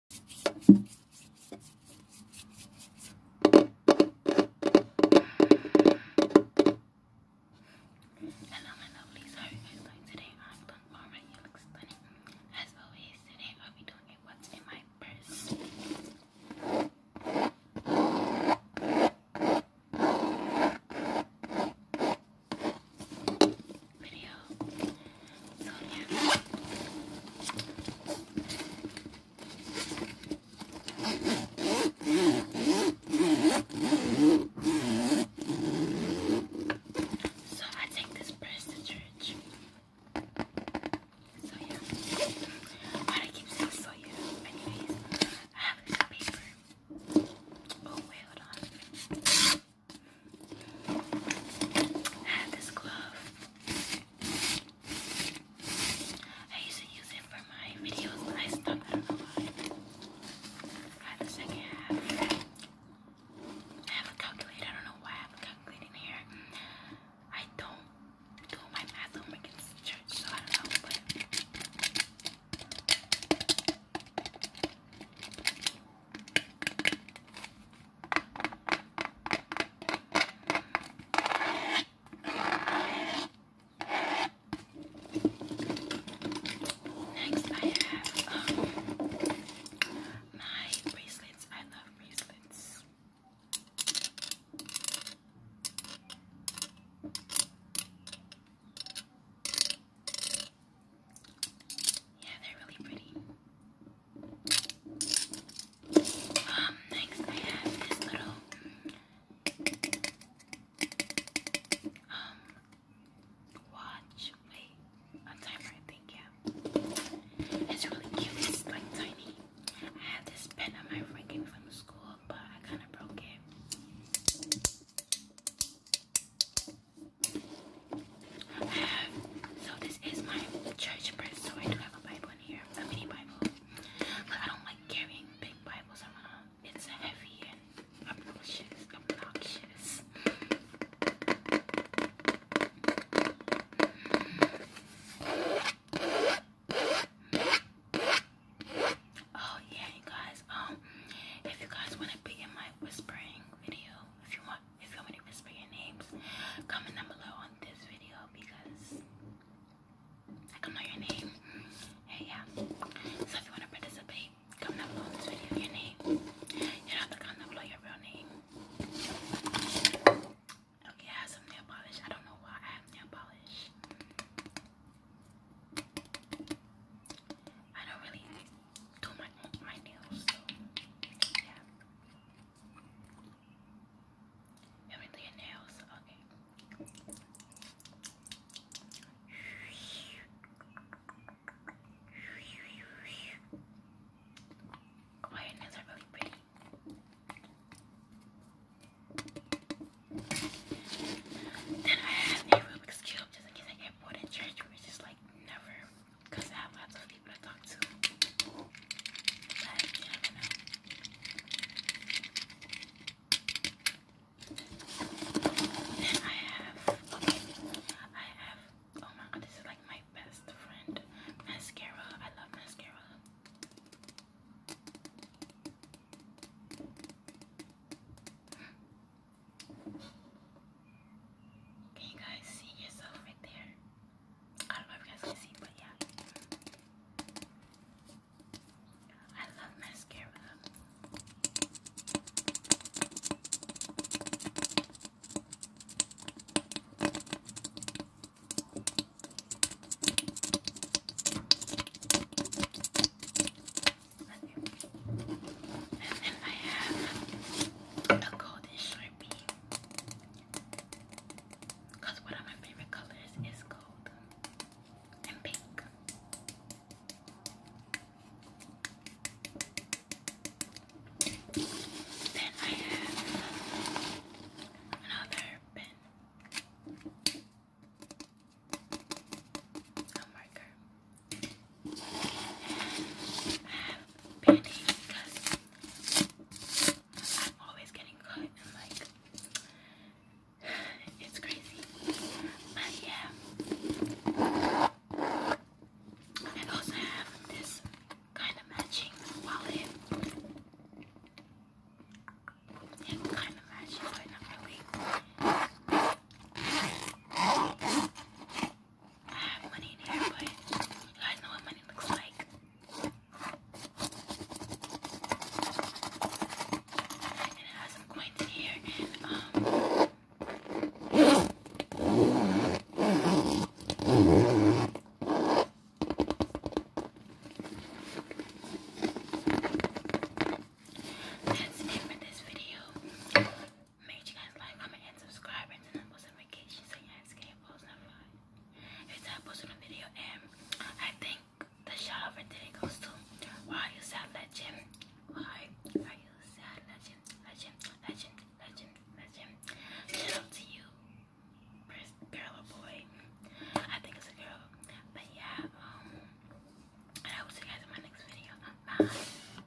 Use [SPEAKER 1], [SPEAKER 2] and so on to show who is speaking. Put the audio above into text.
[SPEAKER 1] Hello my lovelies, how you guys doing today? I'm doing alright, you look stunning. As always, today I'll doing what's in my purse. So yeah. So I take this press to church. So yeah. Why do I keep saying so yeah? Anyways, I have this paper. Oh wait, hold on. I have this glove. I used to use it for my videos, but I stopped. I don't know why. I have the second half. I have a calculator. I don't know why I have a calculator in here. I don't do my math homework in church, so I don't know. But Next, I have um, my bracelets. I love bracelets. Yeah, they're really pretty. Um, next I have this little um watch. Wait, a timer I think, It's really cute, it's like tiny. I had this pen that my friend from school, but I kinda broke it. So this is my church purse. So I do have a Bible in here, a mini Bible. But I don't like carrying big Bibles It's heavy and obnoxious. Oh yeah, guys. Um, if you guys want to be in my whispering video, if you want, if you want names, comment down below on this video because I don't know your name. Hey, yeah. So if you want to participate, comment down below on this video your name. You have to comment down below your real name. Okay, oh, I have some nail polish. I don't know why I have nail polish. I don't really do oh, my my nails. yeah. You do your nails? Okay. Oh, nails are really pretty. Then I have a Rubik's Cube just in case I get like never. Because I have lots of people to talk to. Then I have, I have, oh my god, this is like my best friend, mascara. I love mascara. Can you guys see yourself right there? I don't know if you guys can see, but yeah. I love mascara. And then I have a gold this Sharpie. Because one of my favorite colors is gold and pink. Then I have another pen. A marker have band-aids I'm always getting cut and like it's crazy. But yeah. And also have this kind of matching wallet. It kind of matches, but not really. I have money in here, but you know what money looks like. And it has some coins in here. um, that's it for this video made you guys like, comment, and subscribe, and turn on post notifications so you guys get notified. Every time I post a video, and I think the shout today goes to Why You Sound Legend. Why Are You Sound Legend? Legend, legend, legend, legend. Shout to you, girl or boy. I think it's a girl, but yeah, um, and I will see you guys in my next video. Bye.